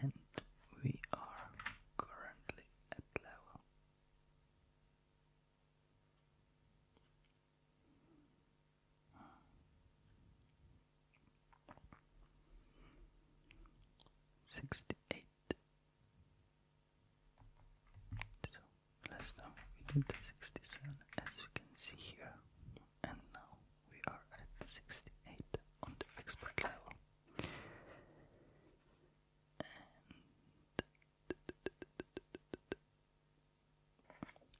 and we are currently at level. Sixty eight. So last time we did the sixty seven as you can see here and now we are at 68 on the expert level.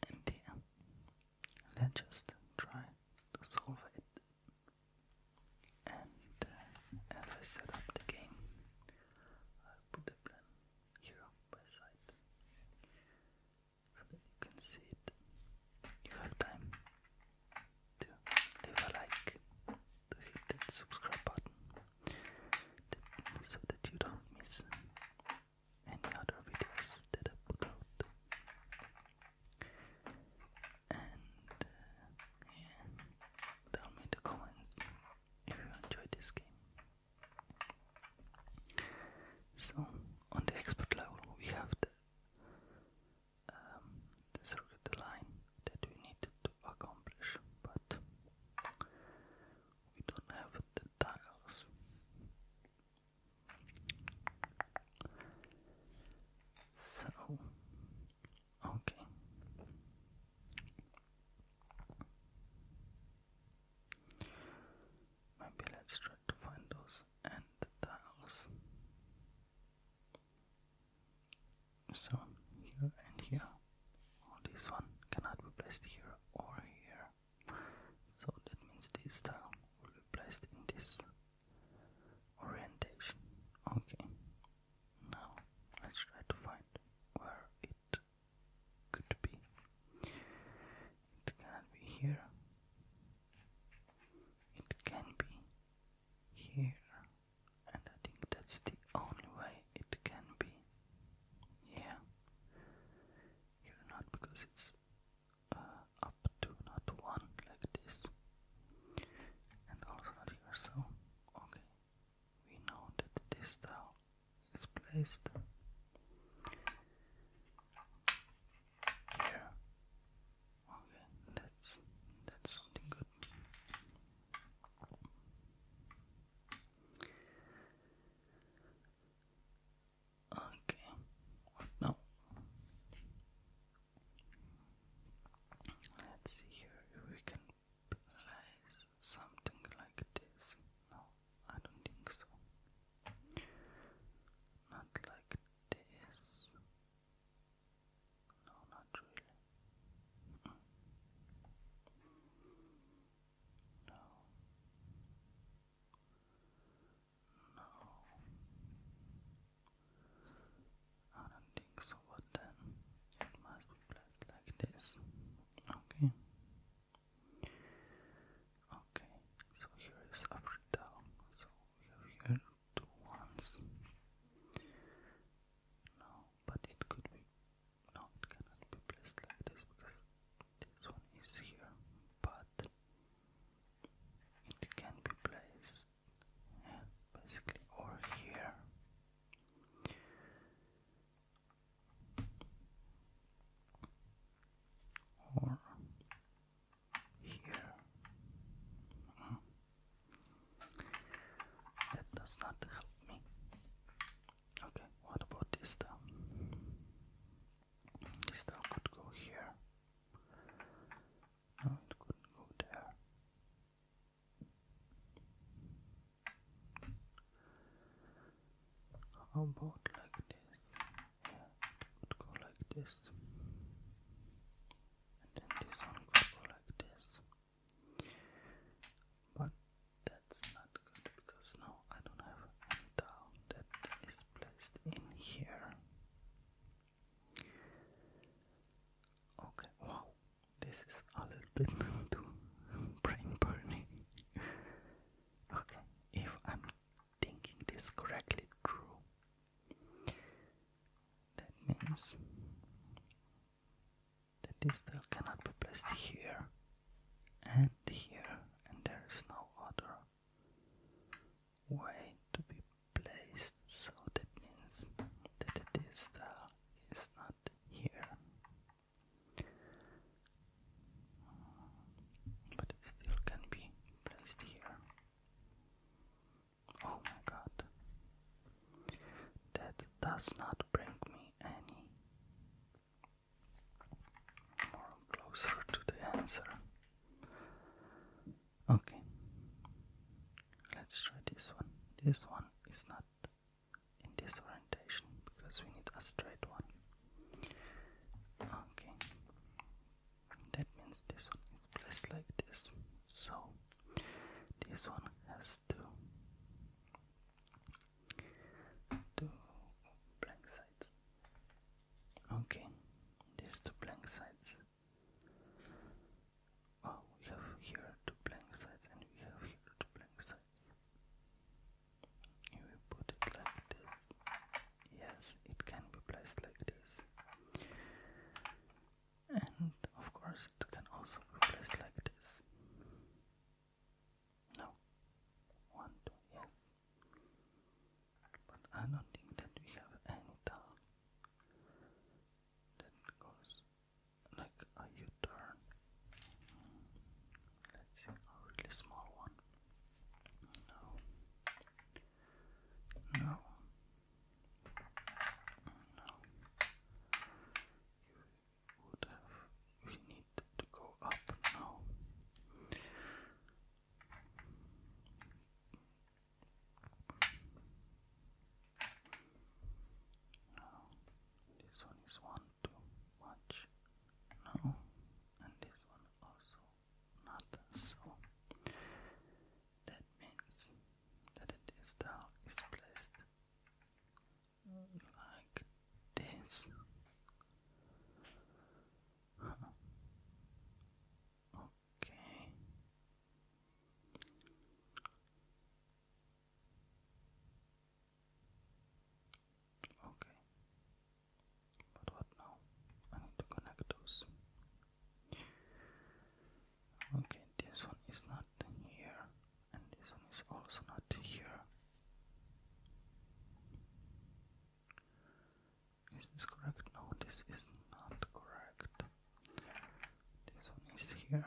And, and let's just try to solve it. And as I set up the game, i put the plan here by side so that you can see it. You have time to leave a like, to hit that subscribe button, so that you don't miss any other videos that I put out. And uh, tell me in the comments if you enjoyed this game. So on the expert level we have the um, the circuit line that we needed to accomplish, but we don't have the tiles. So, okay. Maybe let's try to find those and tiles. So here and here, this one cannot be placed here or here. So that means this tile will be placed in this orientation. Okay. Now let's try to find where it could be. It cannot be here. It can be here, and I think that's the only way it can be. Yeah, here not because it's uh, up to not one like this, and also not here. So okay, we know that this tile is placed. Here Okay, that's that's something good. Okay, now? Let's see here if we can place something like this. No, I don't think so. Not like this. No, not really. No. No. I don't think so, but then it must be placed like this. Okay. Okay, so here is every down. So we have here two ones. No, but it could be. No, cannot be placed like this because this one is here. But it can be placed, yeah, basically, or here. Or here. That does not help me. Okay, what about this down? This down could go here. No, it could go there. How about like this? would go like this, and then this one go like this. But that's not good because now I don't have any towel that is placed in here. Okay, wow, this is a little bit too brain burning. okay, if I'm thinking this correctly true. That means that this still cannot be placed here and here, and there is no other way to be placed, so that means that this still is not here. But it still can be placed here. Oh my god. That does not bring me any more closer to the answer. Okay. Let's try this one. This one is not in this orientation because we need a straight one. Okay that means this one is placed like this so this one has two two blank sides okay there's two blank sides oh we have here two blank sides and we have here two blank sides if we put it like this yes it can be placed like this and of course it can also be placed like this no one two yes but I don't think that we have any towel that goes like a U-turn let's see a really small one no no. no. We need to go up now. No, this one is one too much. No, and this one also not so. That means that it is down is placed like this. Okay. Okay. But what now? I need to connect those. Okay, this one is not here, and this one is also not here. Is this correct? No, this is not correct. This one is here.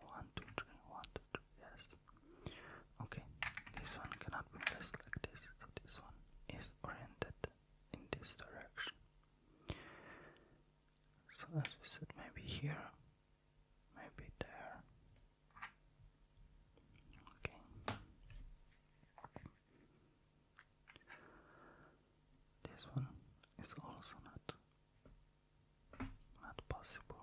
One, two, three, one, two, three, yes. Okay, this one cannot be placed like this, so this one is oriented in this direction. So, as we said, maybe here, maybe there. Okay. This one is also not not possible.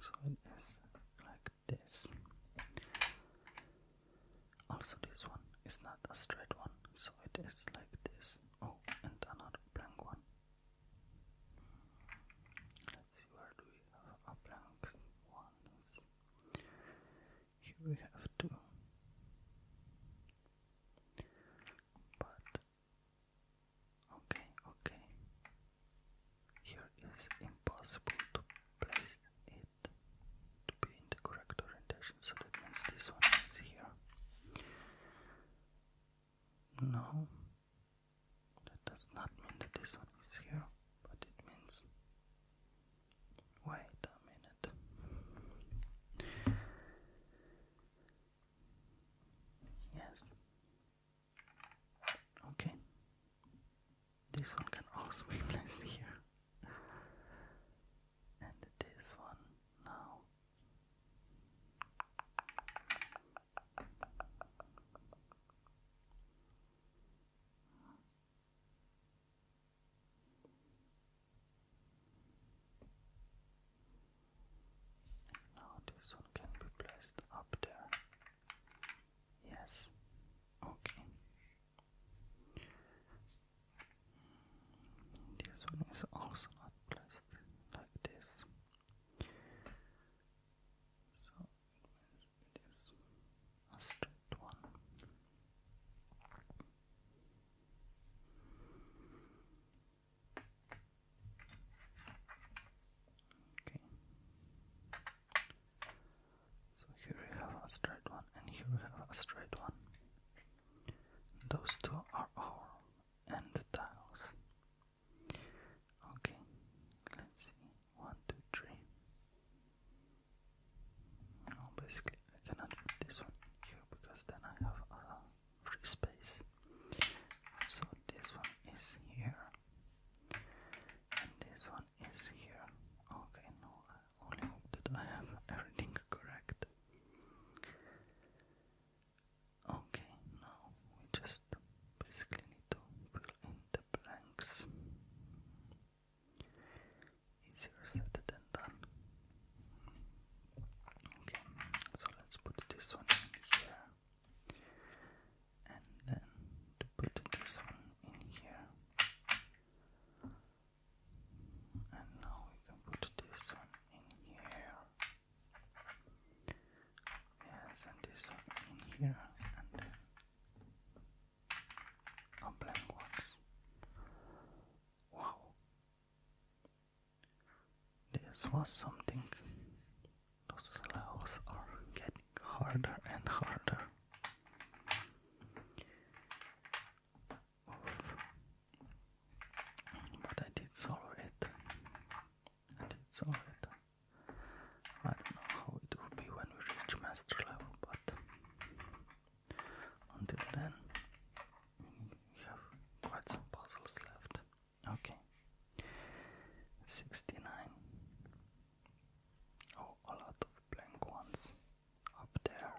So it is like this. Also this one is not a straight one, so it is like this. Oh, and another blank one. Let's see where do we have our blank ones. Here we have two. But okay, okay. Here is impossible to place it to be in the correct orientation, so that means this one is here. No, that does not mean that this one is here, but it means. Wait a minute. Yes, Okay. This one can also be placed here. And this one now. Now this one can be placed up there. Yes. Okay. This one is also not placed like this. So it is a straight one. Okay. So here we have a straight one, and here we have a straight one. Those two are our end tiles. Okay, let's see. One, two, three. No, basically, I cannot put this one here because then I have a free space. So this one is here and this one is here. Okay, no, only hope that I have everything correct. Okay, now we just basically need to fill in the blanks. Easier said than done. Okay, so let's put this one here and then to put this one in here and now we can put this one in here yes and this one in here and then a blank ones wow this was something those levels are getting harder and harder. But I did solve it. I did solve it. I don't know how it will be when we reach master level, but until then, we have quite some puzzles left. Okay, 69. Oh, a lot of blank ones up there.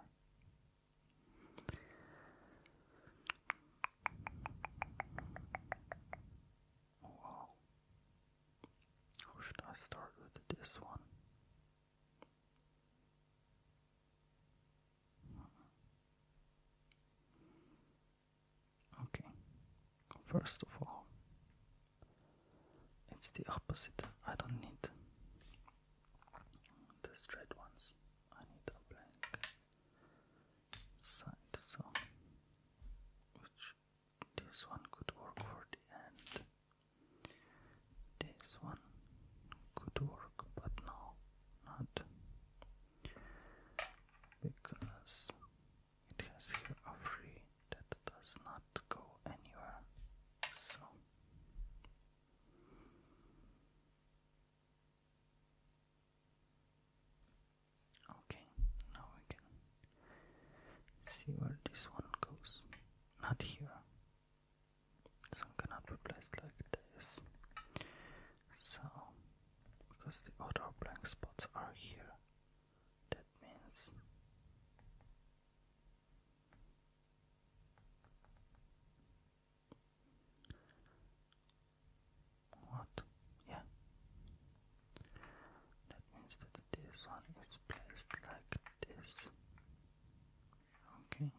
Oh, wow. How should I start with this one? Okay, first of all, it's the opposite. I don't need the straight ones, I need a blank side. So, which this one could work for the end, this one could work, but no, not because it has here a free that does not go anywhere. So Okay, now we can see where this one goes. Not here. This cannot be placed like this. So because the other blank spots are here that means what? Yeah. That means that this one is placed like this. Okay.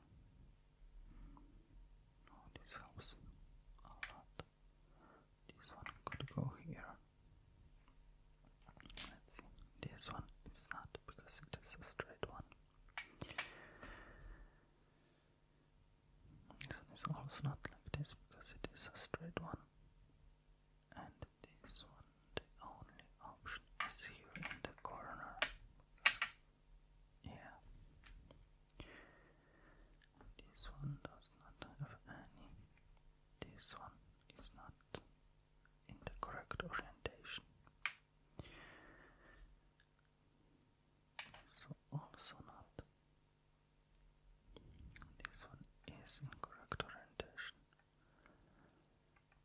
Oh, this helps a lot. This one could go here. Let's see. This one is not because it is a straight one. This one is also not like this because it is a straight one. And this one, the only option is here in the corner. Yeah. This one does not have any this one is not in the correct orientation. So also not. This one is in correct orientation,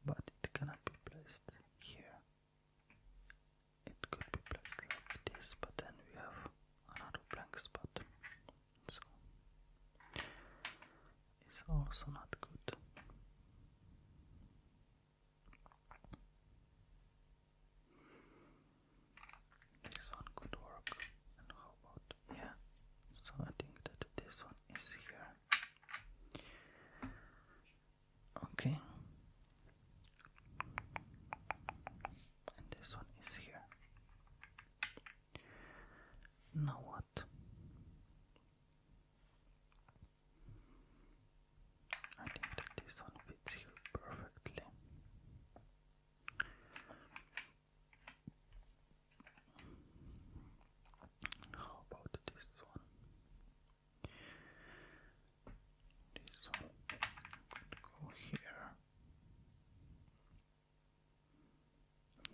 but it cannot be placed here. It could be placed like this, but then we have another blank spot so it's also not good. This one could work, and how about yeah? So I think that this one is here. Okay, and this one is here. Now what? I think this one fits here perfectly. How about this one? This one could go here.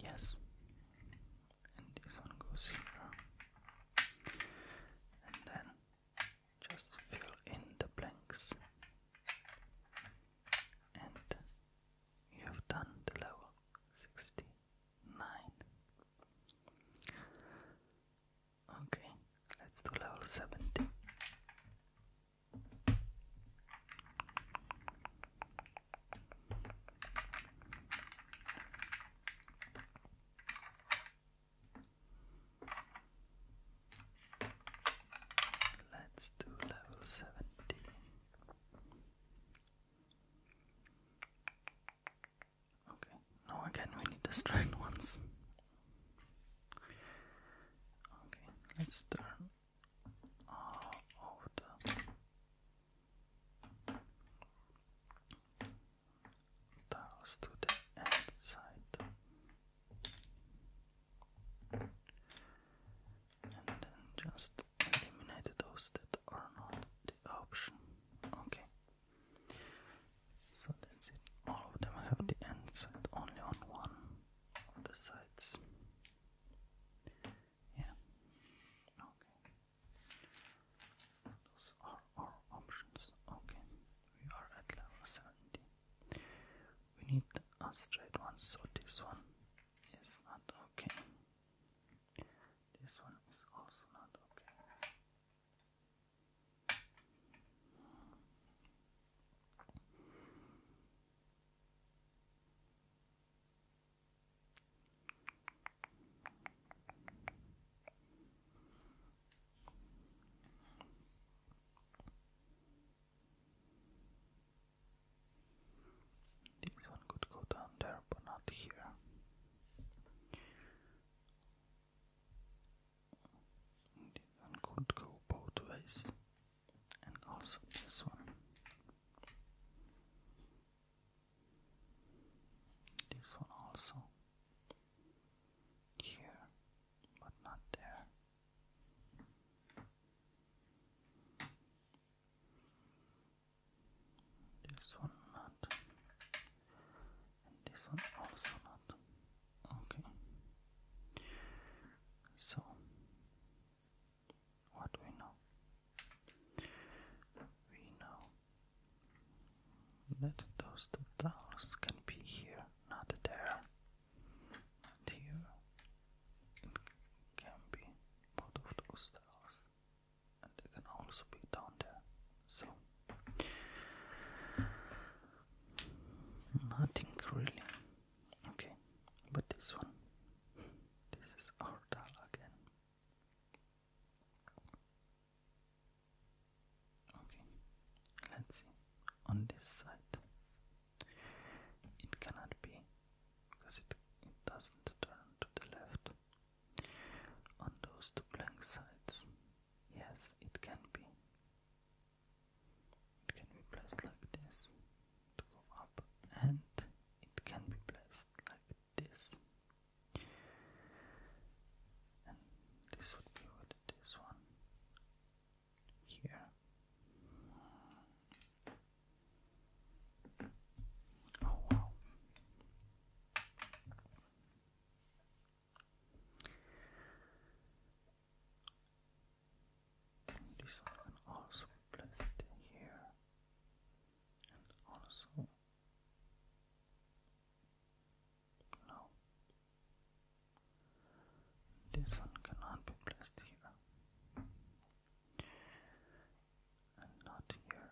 Yes. And this one goes here. And then just fill in the blanks. And you have done the level 69. Okay, let's do level 70. Let's do level seventy. Okay, now again we need to strand once. Okay, let's turn all of the tiles to the end side, and then just eliminate those that are not the option. Okay, so that's it. All of them have the end side only on one on the sides. Yeah. Okay. Those are our options. Okay. We are at level 70. We need a straight one, so this one is not okay. This one is also not okay. This one could go down there, but not here. This one could go both ways and also this one. This one also here, but not there. This one not, this one also not. Okay. So, what we know? We know that those two can be here, not there. And here can be both of those towers, and they can also be down there. So. Nothing really Okay, but this one, this is Ordal again. Okay, let's see. On this side, it cannot be because it doesn't turn to the left. On those two blank sides, yes, it can be. It can be placed like this to go up, and it can be placed like this. And this would be with this one here. Oh wow. This one can also place it here and also no. This one cannot be placed here and not here.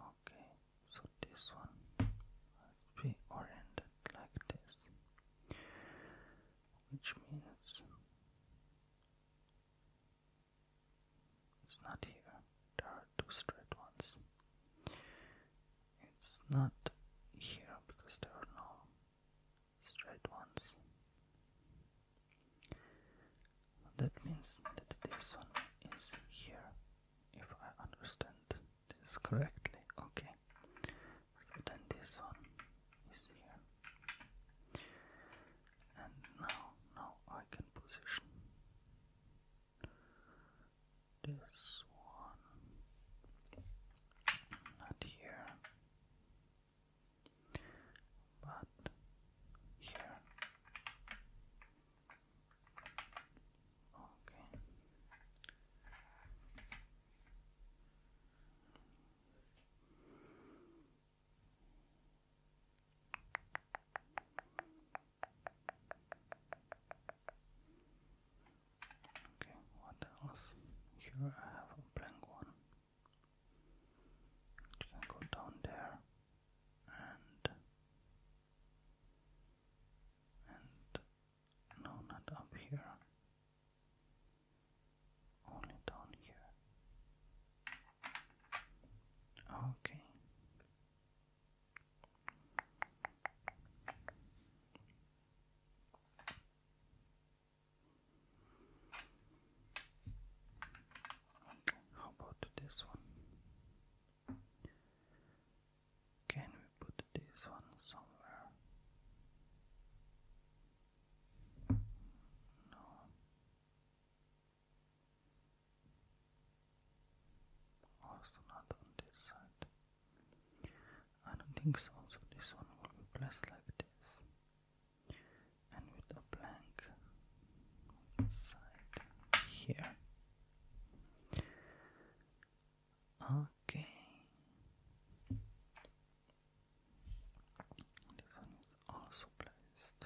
Okay, so this one must be oriented like this, which means it's not here. There are two straight ones. It's not here because there are no straight ones. That means that this one is here, if I understand this correctly. Okay. So then this one is here. And now, now I can position this one not here, but here. Okay. Okay, what else? Here I have a blank one. You can go down there and and no, not up here. Only down here. Okay. how about this one? Can we put this one somewhere? No. Also not on this side. I don't think so. So this one will be placed like this, and with a blank side here. Okay. This one is also placed.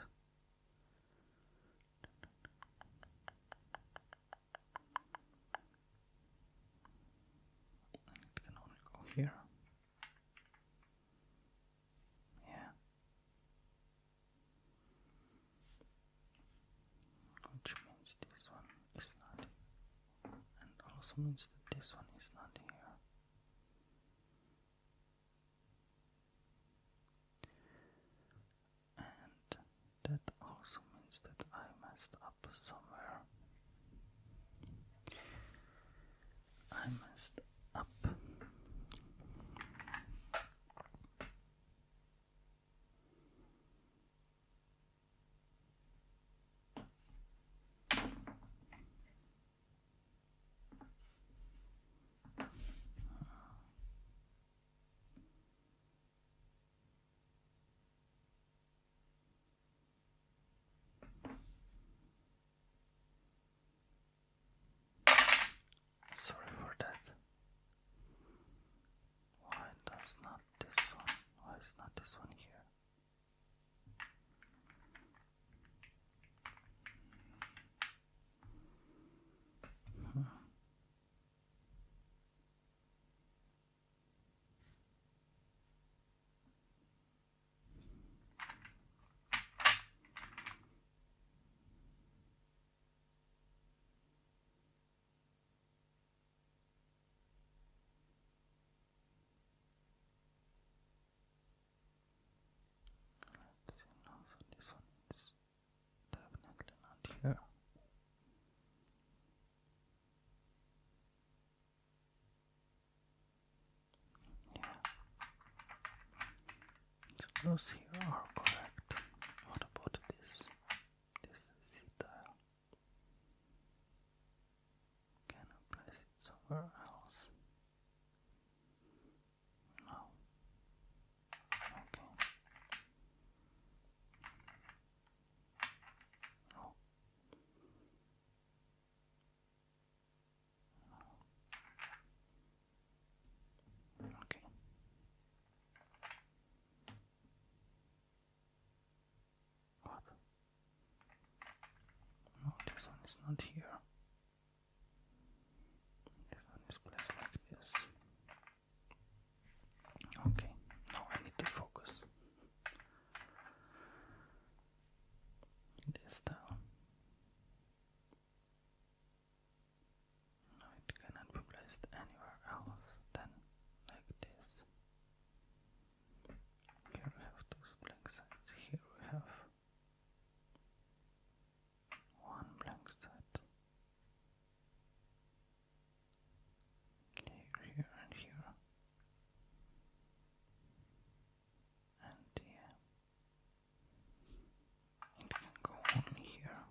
can only go here. Yeah which means this one is not and also means that this one is not here. And that also means that I messed up somewhere. I messed up. Sorry for that. Why does not this one? Why is not this one here? let this one is definitely not here. Yeah. those here are correct. What about this? This is can I place it somewhere else? No. Okay. Okay. What? No, this one is not here. This one is placed like this. Okay, now I need to focus. It is down. No, it cannot be placed anywhere else than like this. Here we have two blank sides. Here we have one blank side. Here, here, and here. And yeah, it can go on here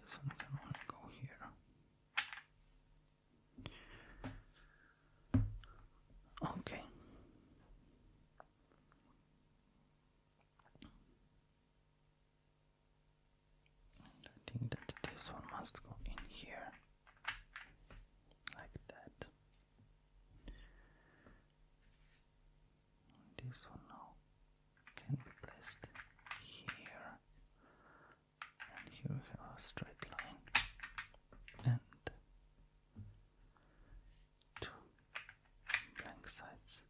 this one can only go here. Okay. I think that this one must go in here like that. This one now can be placed here, and here we have a straight line and two blank sides.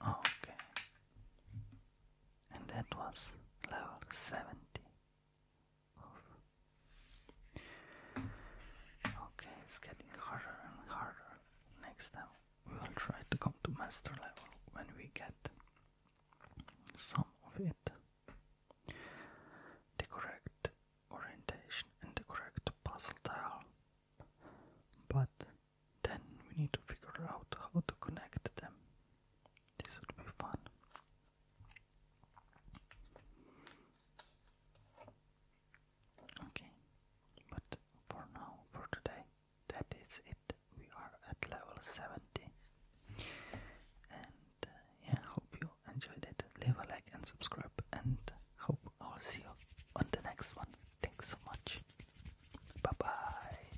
Okay, and that was level 70. Okay, it's getting harder and harder. Next time we will try to come to master level when we get some of it. The correct orientation and the correct puzzle tile. But then we need to figure out how to connect them. This would be fun. Okay, but for now, for today, that is it. We are at level 70. And uh, yeah, hope you enjoyed it. Leave a like and subscribe, and hope I'll see you on the next one. Thanks so much. Bye bye.